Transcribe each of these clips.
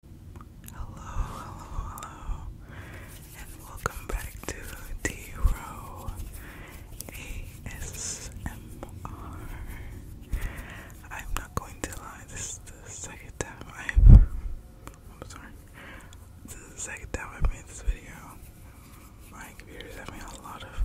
Hello, hello, hello, and welcome back to d am not going to lie, this is the second time I've, I'm sorry, this is the second time i made this video. My computer's having a lot of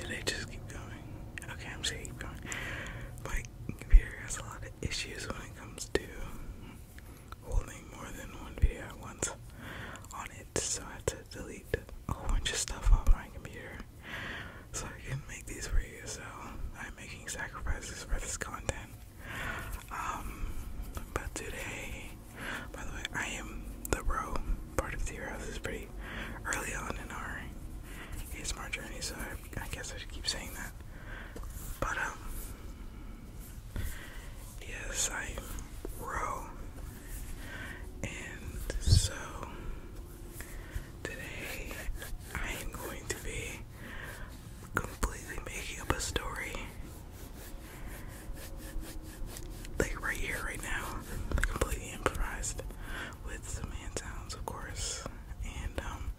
should I just keep going? Okay, I'm gonna keep going. My computer has a lot of issues when it comes to holding more than one video at once on it, so I had to delete a whole bunch of stuff off my computer so I can make these for you. So I'm making sacrifices for this content. Um, but today by the way, I am the row part of the house is pretty early on in our ASMR journey, so I, guess I should keep saying that. But um, yes, I am row, and so today I am going to be completely making up a story like right here, right now, completely improvised with some hand sounds, of course. And um,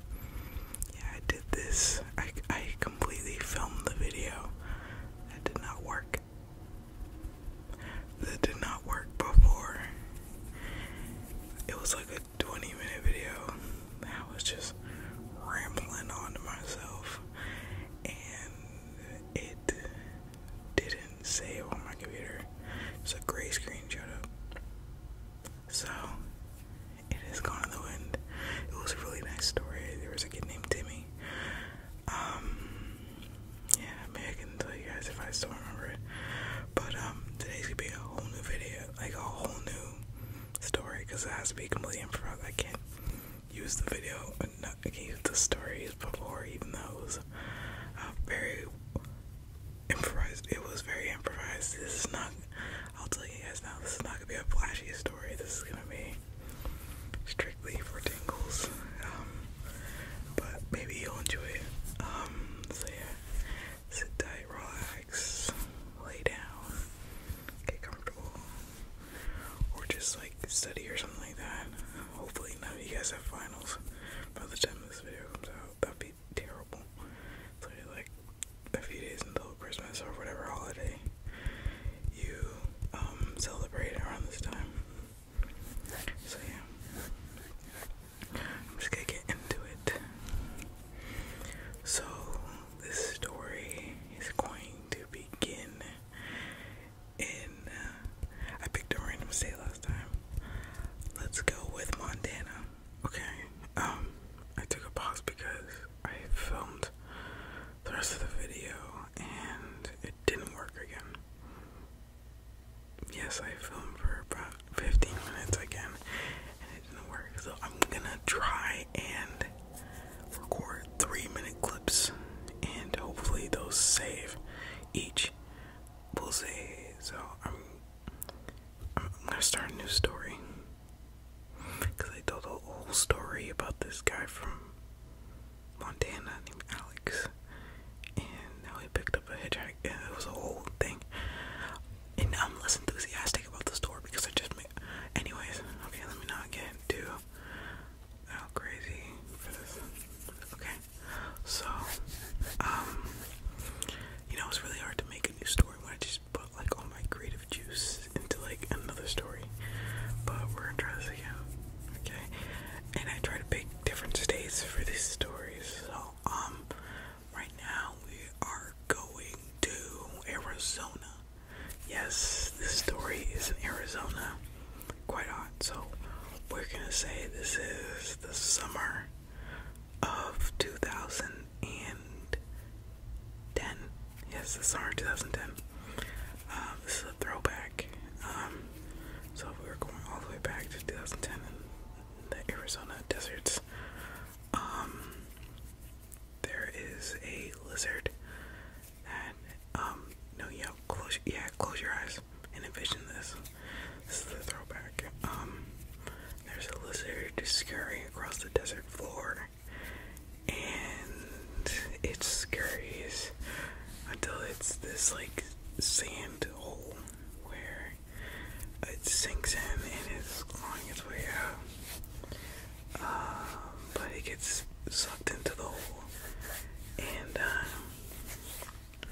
yeah, I did this. I I completely filmed the video. That did not work. That did not work before. It was like a 20 minute video. that was just rambling on to myself, and it didn't save on my computer. It's a gray screen showed up. So it is gone in the wind. It was a really nice story. There was a kid named Timmy. Um yeah, maybe I can tell you guys if I still remember it. But um today's gonna be a whole new video, like a whole new story, it has to be completely improvised. I can't use the video, not I can't use the stories before, even though it was uh, very improvised. It was very improvised. This is not. I'll tell you guys now. This is not gonna be a flashy story. This is gonna be strictly for tingles. Um, but maybe you'll enjoy it. Um, so yeah, sit tight, relax, lay down, get comfortable or just like study or something like that. Hopefully, none of you guys have finals by the time this video comes out. That'd be terrible. So, like a few days until Christmas or whatever holiday you um, celebrate around this time. So, yeah, I'm just gonna get into it. So, this story is going to begin and uh, I picked a random state last time. Let's go with Montana. Okay. Um, I took a pause because I filmed the rest of the video and it didn't work again. Yes, I filmed for about 15 minutes again and it didn't work. So I'm gonna try and record three minute clips and hopefully those save each bullseye. So I'm I'm gonna start a new story because I told a whole story about this guy from Montana named Alex, and now he picked up a hitchhiker. It was a whole thing, and I'm less enthusiastic about the story because I just made. Anyways, okay, let me not get too go oh, crazy Okay, so um, you know it's really hard to make a new story when I just put like all my creative juice into like another story. But we're gonna try this again, okay? And I try to pick different states for these stories. So um, right now we are going to Arizona. Yes, this story is in Arizona. Quite hot. So we're going to say this is the summer of 2010. Yes, the summer 2010. Um, this is a throwback. Um, so we're going all the way back to 2010 in the Arizona deserts. Um, there is a lizard and um no yeah close yeah close your eyes and envision this. This is the throwback. Um there's a lizard scurrying across the desert floor and it scurries until it's this like sand hole where it sinks in and it's clawing its way out um, but it gets sucked into the hole, and uh,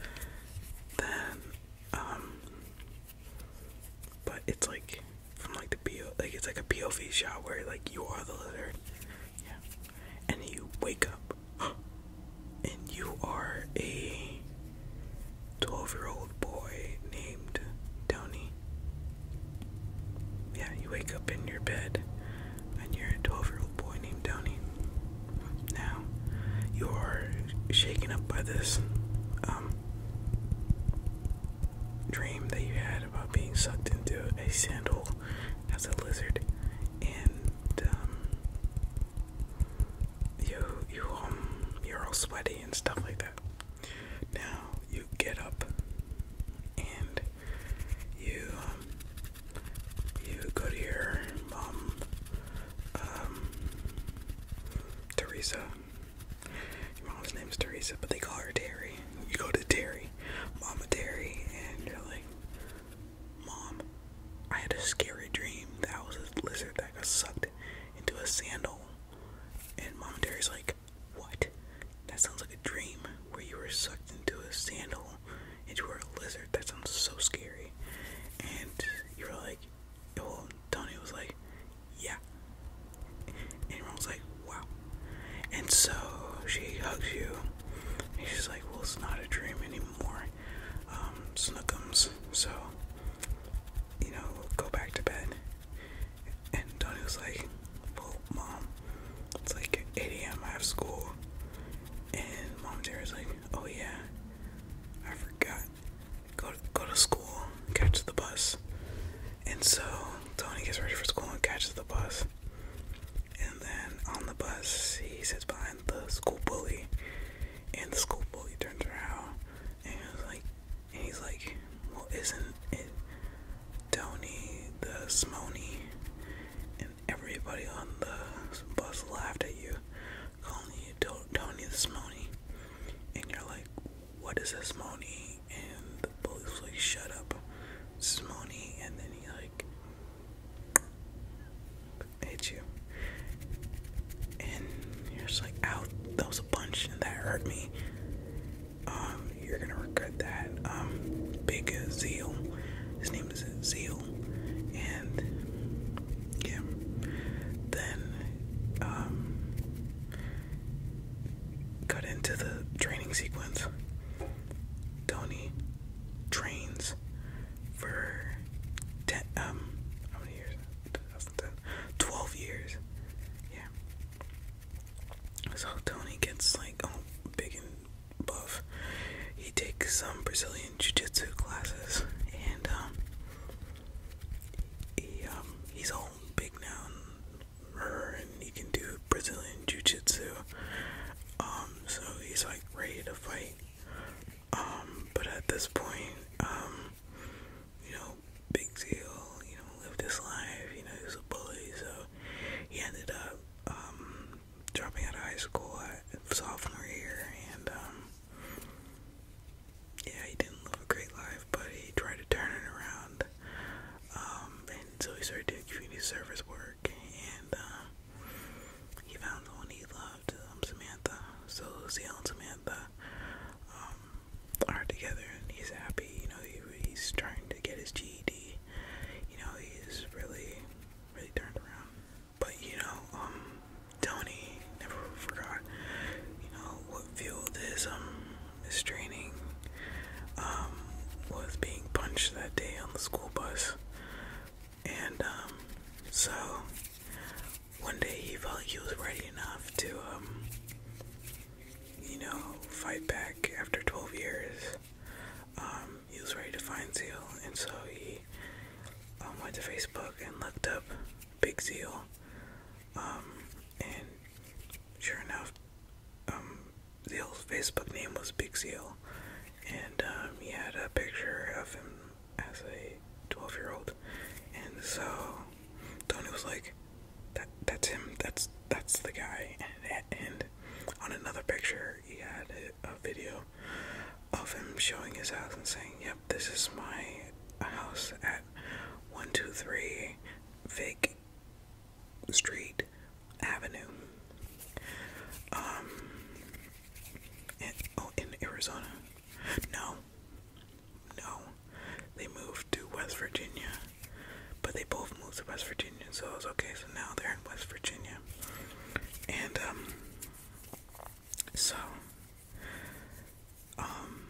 then um, but it's like from like the PO, like it's like a POV shot where like you are the lizard, yeah, and you wake up, and you are a twelve-year-old boy named Downey. Yeah, you wake up in your bed and you're a 12 year old boy named Tony. Now, you are shaken up by this um, dream that you had about being sucked into a sandal as a lizard, and um, you um, you're all sweaty and stuff like that. Now you get up and you um, you go to your mom, um, Teresa. Your mom's is Teresa, but they call her Terry. You go to Terry, Mama Terry, and you're like, Mom, I had a scary dream that was a lizard that got sucked into a sandal. And Mom and Terry's like, what? That sounds like a dream where you were sucked into a sand and you were a lizard. That sounds so scary. And you were like, well, Tony was like, yeah. And everyone was like, wow. And so she hugs you. And she's like, well, it's not a dream anymore. Um, snookums. So, you know, go back to bed. And Tony was like, Well, mom, it's like 8 a.m. I have school. And mom Jerry was like, Oh, yeah, I forgot. Go, go to school, catch the bus. And so Tony gets ready for school and catches the bus. And then on the bus, he sits behind the school bully. And the school bully turns around and is like, and he's like, well, isn't it Tony the Smony? And everybody on the bus laughed at you, calling you Tony the Smony. And you're like, what is a Smony? And the police like, shut up, Smony. And then he like hit you and you're just like, "Out, that was a punch, and that hurt me." Um, you're gonna regret that. Um, big Zeal, his name is Zeal, and yeah. Then, um, cut into the training sequence. Tony trains for um, how many years? something. 12 years. Yeah. So Tony gets like all big and buff. He takes some Brazilian jiu-jitsu classes and um he um, he's all big now and, and he can do Brazilian jiu-jitsu. Um so he's like ready to fight. Um but at this point um you know big deal, you know, lived his life, you know, he was a bully, so he ended up um, dropping out of high school at sophomore year, and um, yeah, he didn't live a great life, but he tried to turn it around, um, and so he started doing community service work, and uh, he found the one he loved, um, Samantha, so Seal and Samantha, um, are together and he's happy. You know, he's trying to get his GED. You know, he's really, really turned around. But you know, um, Tony never forgot. You know what fueled his um his training. Um, was being punched that day on the school bus, and um, so one day he felt he was ready enough to, um, you know, fight back after 12 years. Um, he was ready to find Zeal, and so he um, went to Facebook and looked up Big Zeal. and sure enough, um, Zeal's Facebook name was Big Zeal, and he had a picture of him as a 12 year old. And so Tony was like, that, that's him, that's that's the guy. And, on another picture, he had a, a video of him showing his house and saying, Yep, this is my house at 123 Fake Street Avenue. Um, in, oh, in Arizona. No, no. They moved to West Virginia. But they both moved to West Virginia, so it was okay. So now they're in West Virginia. And, um, so, um,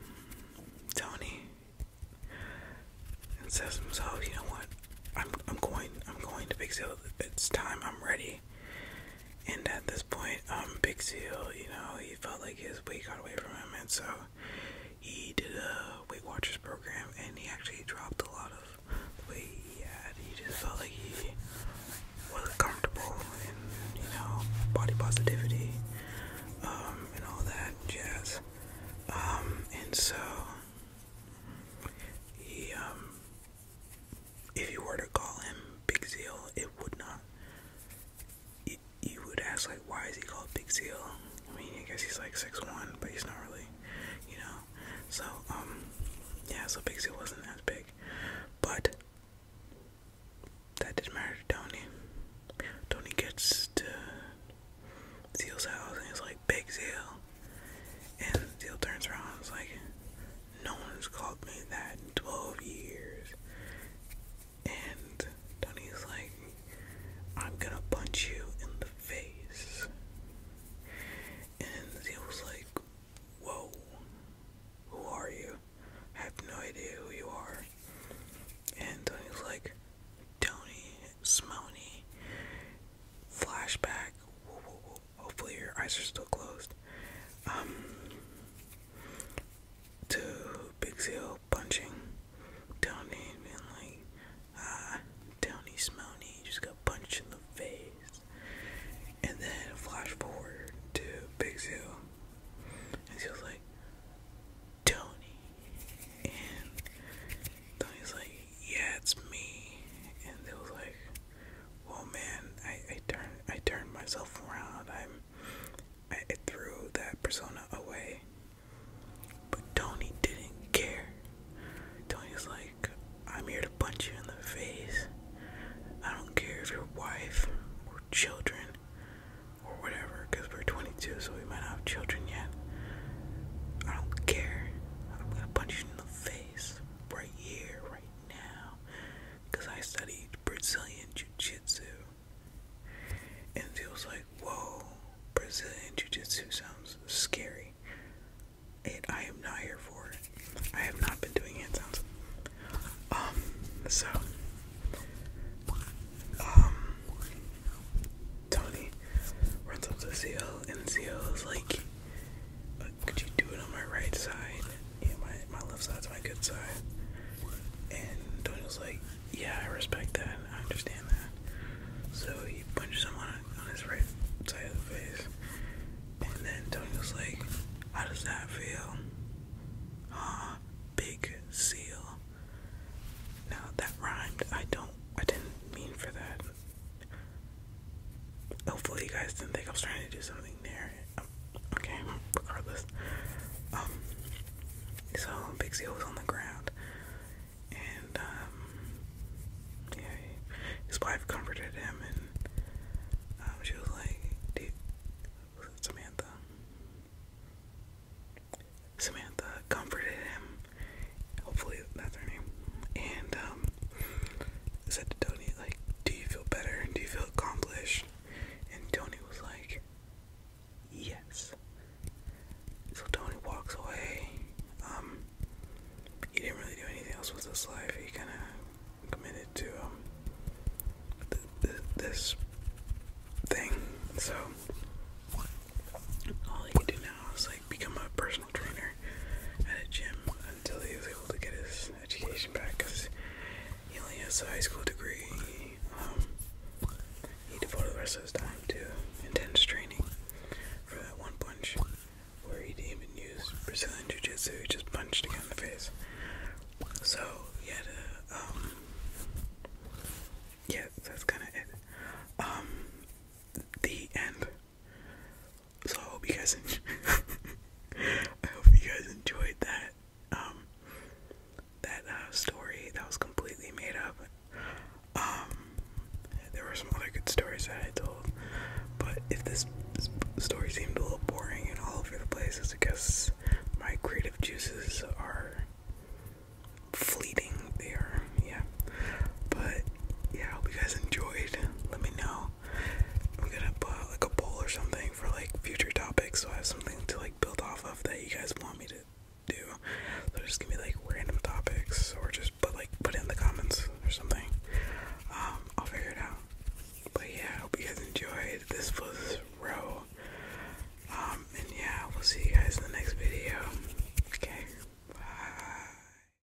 Tony says himself, you know what? I'm, I'm going, I'm going to Big Seal. It's time. I'm ready. And at this point, um, Big Seal, you know, he felt like his weight got away from him, and so he did a Weight Watchers program, and he actually dropped a lot of weight he He just felt like he wasn't comfortable in, you know, body positivity, um, and all that jazz. Um, and so he, um, if you were to call him Big Zeal, it would not. You, you would ask like, why is he called Big Zeal? I mean, I guess he's like six one, but he's not really, you know. So um, yeah. So Big Zeal wasn't that big, but that didn't matter to Tony. Tony gets to Zeal's house and he's like, Big Zeal, and Zeal turns around and is like, no one's called me that in 12 years. And Tony's like, I'm gonna punch you in the face. And he was like, Whoa, who are you? I have no idea who you are. And Tony's like, Tony, Smoney, flashback, Hopefully, your eyes are still closed. Um, to Big Seal punching Downey and being like, ah, uh, Downey just got punched in the face. And then flash forward to Big Seal, and Seal's like, Tony. And Tony's like, yeah, it's me. And they was like, well man I, turned I turned myself around I'm I, threw that persona away but Tony didn't care Tony was like I'm here to punch you in the face I don't care if your wife or children or whatever because we're 22 so we might not have children yet I don't care I'm gonna punch you in the face right here right now because I studied Brazilian Jiu Jitsu. And it was like, whoa, Brazilian Jiu Jitsu sounds scary. And I am not here for it. I have not been doing hand sounds. Um, so, um, Tony runs up to Seal, and Seal is like, could you do it on my right side? my, my left side's my good side. And Daniel's like, yeah, I respect that. I understand that. So he punches him on, on his right side of the face. And then Daniel's like, how does that feel? Ah, big seal. Now that rhymed. I don't, I didn't mean for that. Hopefully, you guys didn't think I was trying to do something there. Um, okay, regardless. Um, so Bixie was on the ground, and um, yeah, his wife comforted him, and um, she was like, "Dude, Samantha?" Samantha comforted him. Hopefully, that's her name. And um, said to Tony, like, do you feel better? Do you feel accomplished? And Tony was like, yes. So Tony walks away. Um, he didn't really do anything else with his life. He kind of committed to um, this thing. So all he could do now is like become a person personal trainer at a gym until he was able to get his education back because he only has a high school degree. Um, he devoted the rest of his time to intense training for that one punch where he didn't even use Brazilian Jiu Jitsu, he just punched again in the face. So, yeah, the, um, yeah, that's kind of it. Um, the end. So I hope you guys I hope you guys enjoyed that um, that uh, story that was completely made up. Um, there were some other good stories that I told, but if this story seemed a little boring and all over the place, it's because my creative juices are fleeting. They are, yeah. But yeah, I hope you guys enjoyed. Let me know I'm gonna put like a poll or something for like future topics, so I have something to like build off of that you guys want me to do. So just give me like random topics, or just put like put in the comments or something. Um, I'll figure it out. But yeah, I hope you guys enjoyed. This was Row. Um, and yeah, we'll see you guys in the next video. Okay, bye.